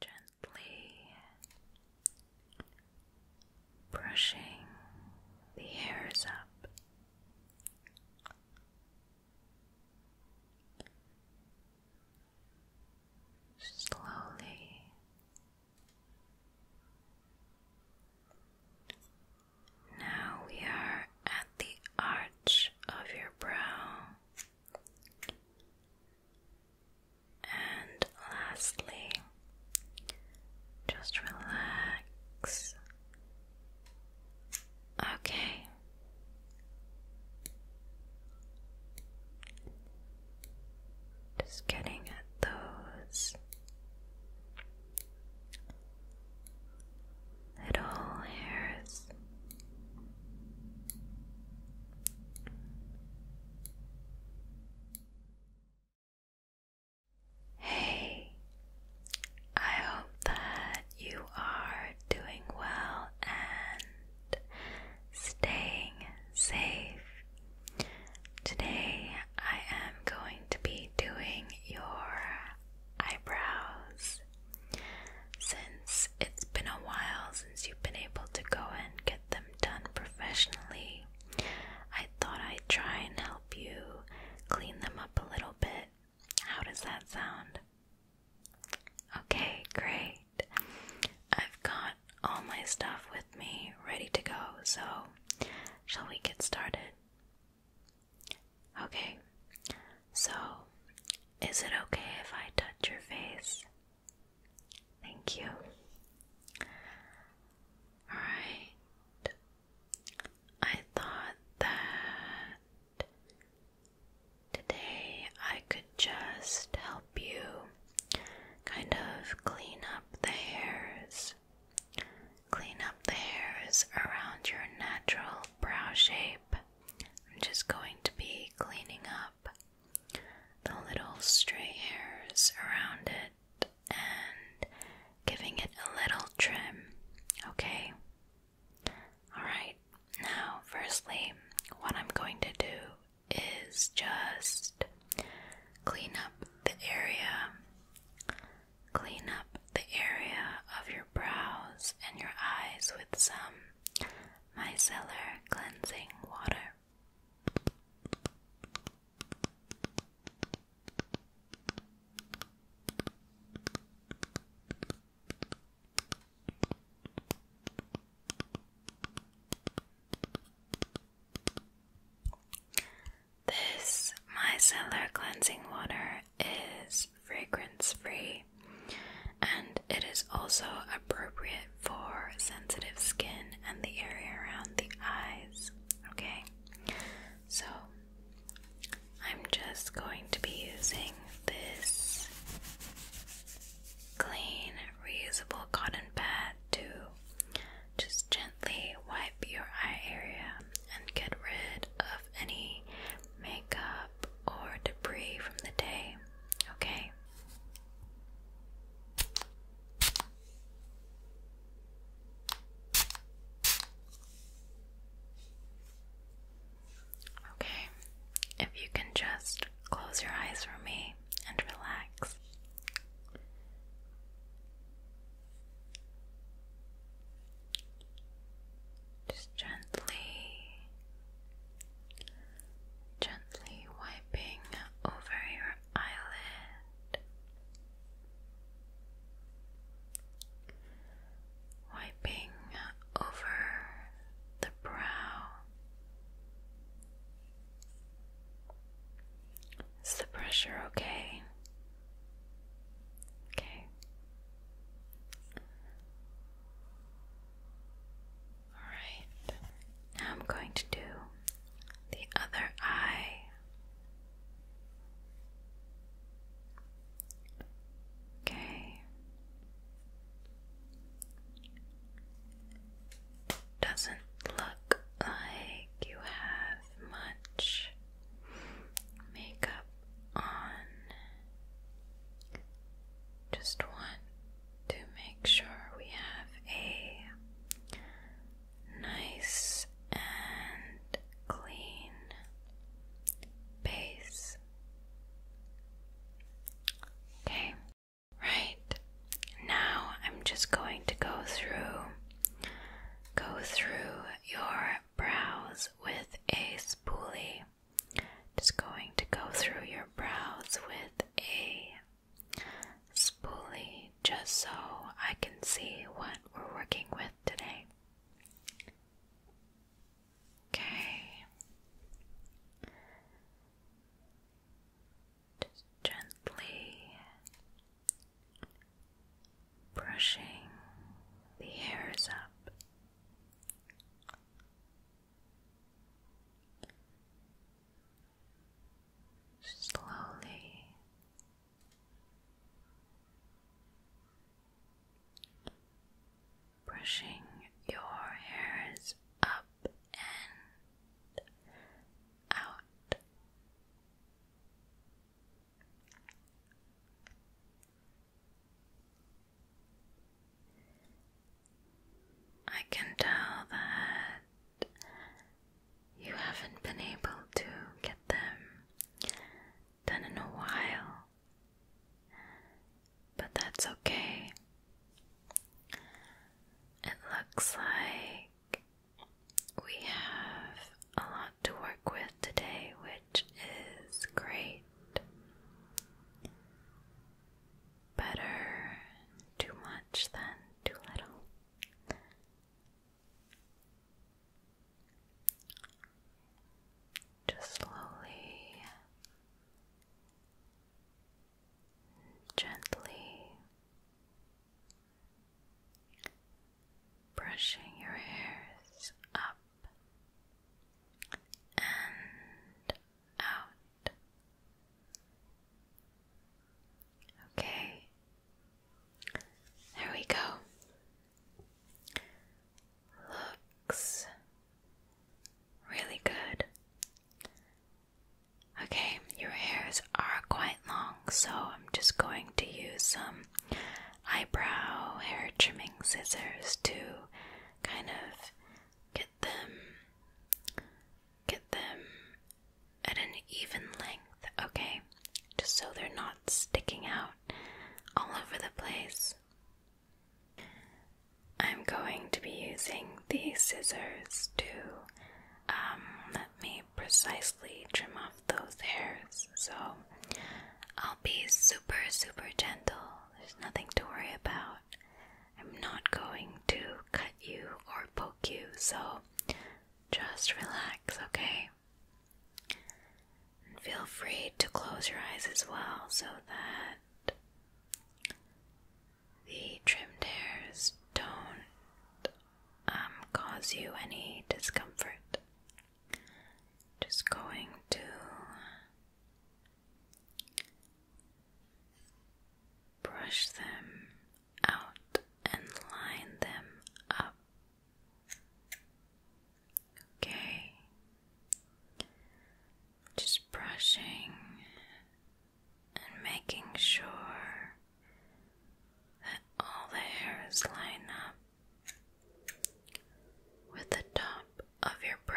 gently brushing the hairs up. Slowly now we are at the arch of your brow and lastly, just relax. Okay. Just getting at those little hairs Hey, I hope that you are doing well and staying safe. Today, I am going to be doing your eyebrows. Since it's been a while since you've been able to go and get them done professionally, I thought I'd try and help you clean them up a little bit. How does that sound? Okay, great. I've got all my stuff with me ready to go, so shall we get started? Okay, so is it okay if I touch your face? Thank you. Alright. I thought that today I could just help you kind of clean up the hairs. Clean up the hairs around your natural brow shape. I'm just going to be cleaning up the little stray hairs around it and giving it a little trim, okay? Alright, now, firstly, what I'm going to do is just clean up the area, clean up the area of your brows and your eyes with some micellar cleansing water. This micellar cleansing water is fragrance free and it is also appropriate for sensitive skin and the area around the eyes. Okay, so I'm just going to be using this clean, reusable cotton pad to just gently wipe your eye area and get rid of any makeup or debris from the day. Okay, Okay, if you can just close your eyes for me and relax. Just gently, gently wiping over your eyelid, wiping over the brow is the pressure okay okay Alright, now I'm going to do the other eye. Okay. Doesn't look like you have much makeup on. Just one to make sure we have a nice and clean base. Okay, right now I'm just going to go through, go through your brows with a spoolie. Just going to go through your brows with a spoolie just so I can see what we're working with today. Okay. Just gently brushing the hairs up slowly brushing your hairs up and out. I can tell that you haven't been able to get them done in a while, but that's okay. It looks like we have a lot to work with today, which is great. Better too much than too little. Just slowly, gently brushing your hairs up and out. Okay, there we go. Looks really good. Okay, your hairs are quite long, so I'm just going to use some eyebrow hair trimming scissors to kind of Get them, get them at an even length, okay? Just so they're not sticking out all over the place. I'm going to be using the scissors to um, let me precisely trim off those hairs, so I'll be super, super gentle there's nothing to worry about. I'm not going to cut you or poke you, so just relax, okay? And feel free to close your eyes as well so that the trimmed hairs don't um, cause you any discomfort. Just going to Brush them out and line them up. Okay, just brushing and making sure that all the hairs line up with the top of your brow.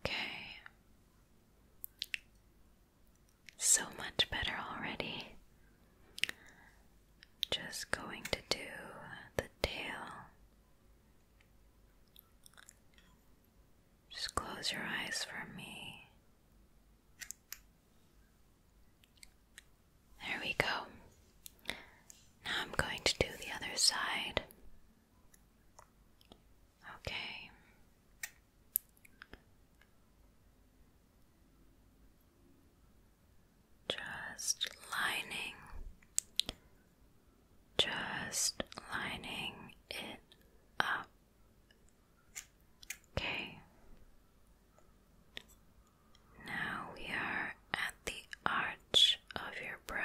Okay. So much better already. Just going to do the tail. Just close your eyes for me. There we go. Now I'm going to do the other side. Okay. Just lining, just lining it up. Okay. Now we are at the arch of your brow.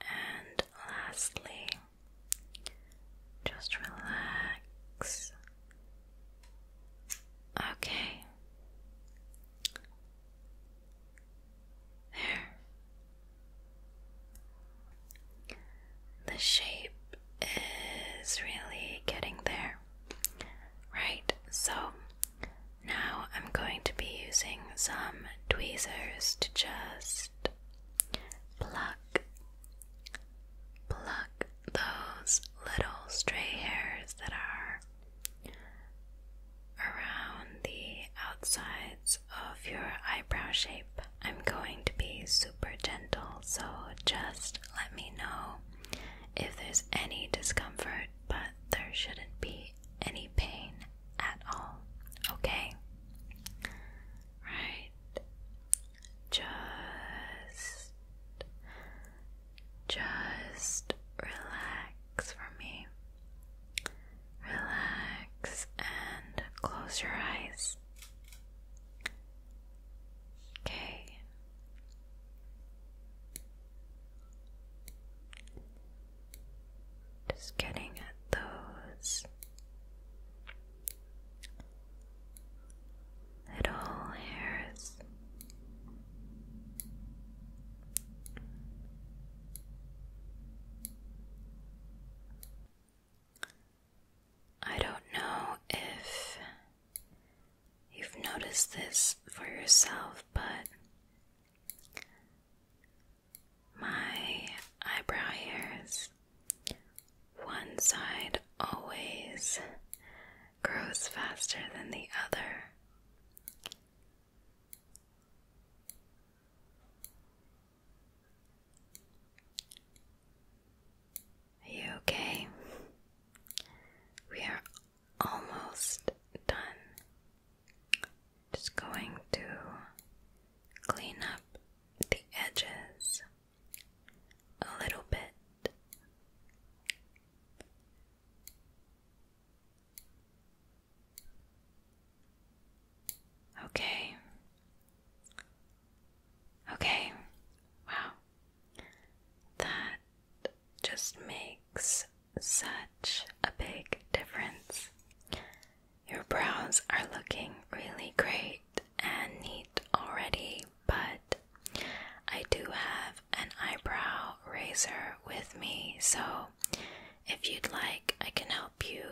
And lastly, just relax. Okay. There. The shape is really getting there. Right, so now I'm going to be using some tweezers to just pluck, pluck those little stray hairs that are around the outsides of your eyebrow shape. I'm going to be super gentle, so just let me know if there's any discomfort, but there shouldn't be any pain at all. Okay? Right. Just just relax for me. Relax and close your eyes. Okay. Just getting at those little hairs. I don't know if you've noticed this for yourself, but my eyebrow hairs, one side always grows faster than the other. Are you okay? We are almost done. Just going to clean up the edges a little bit. Okay, Okay, wow. That just makes such a big difference. Your brows are looking really great and neat already, but I do have an eyebrow razor with me, so if you'd like, I can help you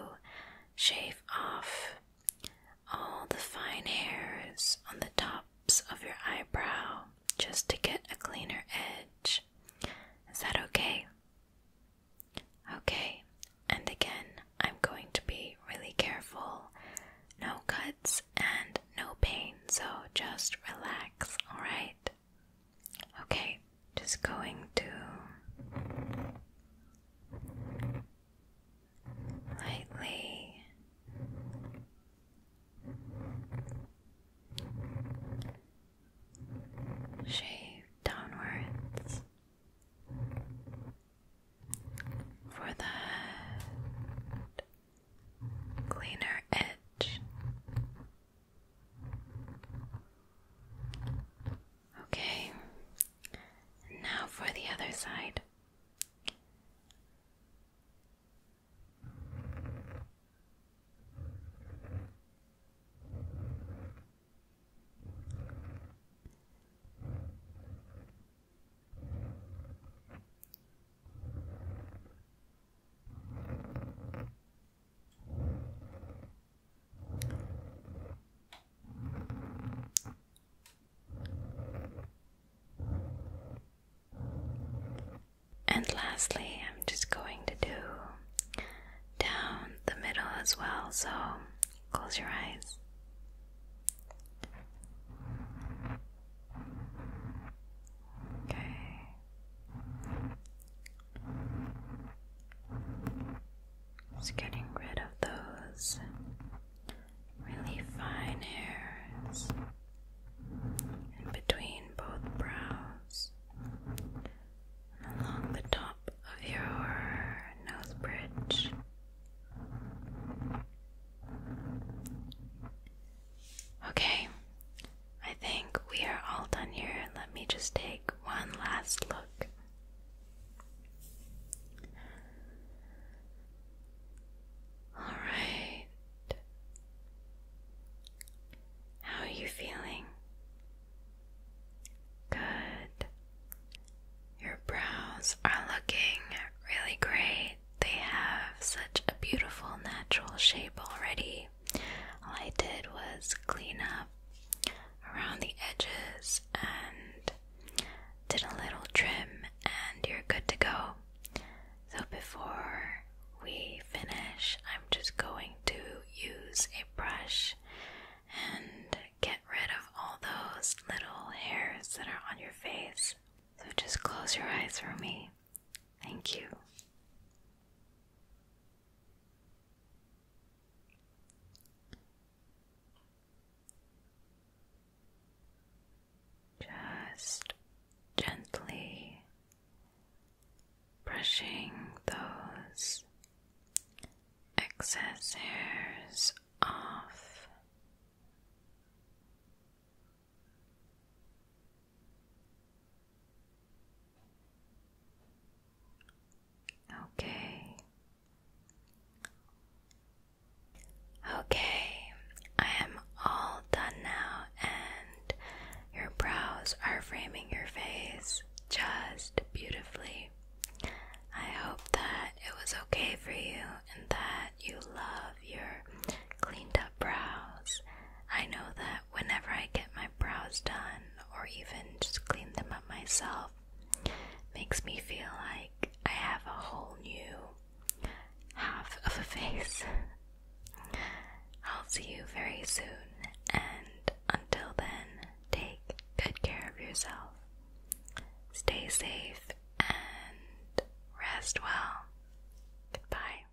shave off all the fine hairs on the tops of your eyebrow just to get a cleaner edge. Is that okay? Okay, and again, I'm going to be really careful. No cuts and no pain, so just relax, alright? Okay, just going to lightly. Shave downwards for the cleaner edge. Okay, and now for the other side. And lastly, I'm just going to do down the middle as well, so close your eyes. Okay. Just getting rid of those really fine hairs in between both brows, along the top of your nose bridge. Okay, I think we are all done here. Let me just take one last look all right. How are you feeling? Good. Your brows are looking really great. They have such a beautiful natural shape already. All I did was clean up around the edges and did a little trim, and you're good to go. So, before we finish, I'm just going to use a brush and get rid of all those little hairs that are on your face. So, just close your eyes for me. Thank you. Just gently brushing those excess hairs off. Okay, Okay, I am all done now, and your brows are framing your face just beautifully. I hope that it was okay for you and that you love your cleaned up brows. I know that whenever I get my brows done or even just clean them up myself, Makes me feel like I have a whole new half of a face. I'll see you very soon, and until then, take good care of yourself. Stay safe and rest well. Goodbye.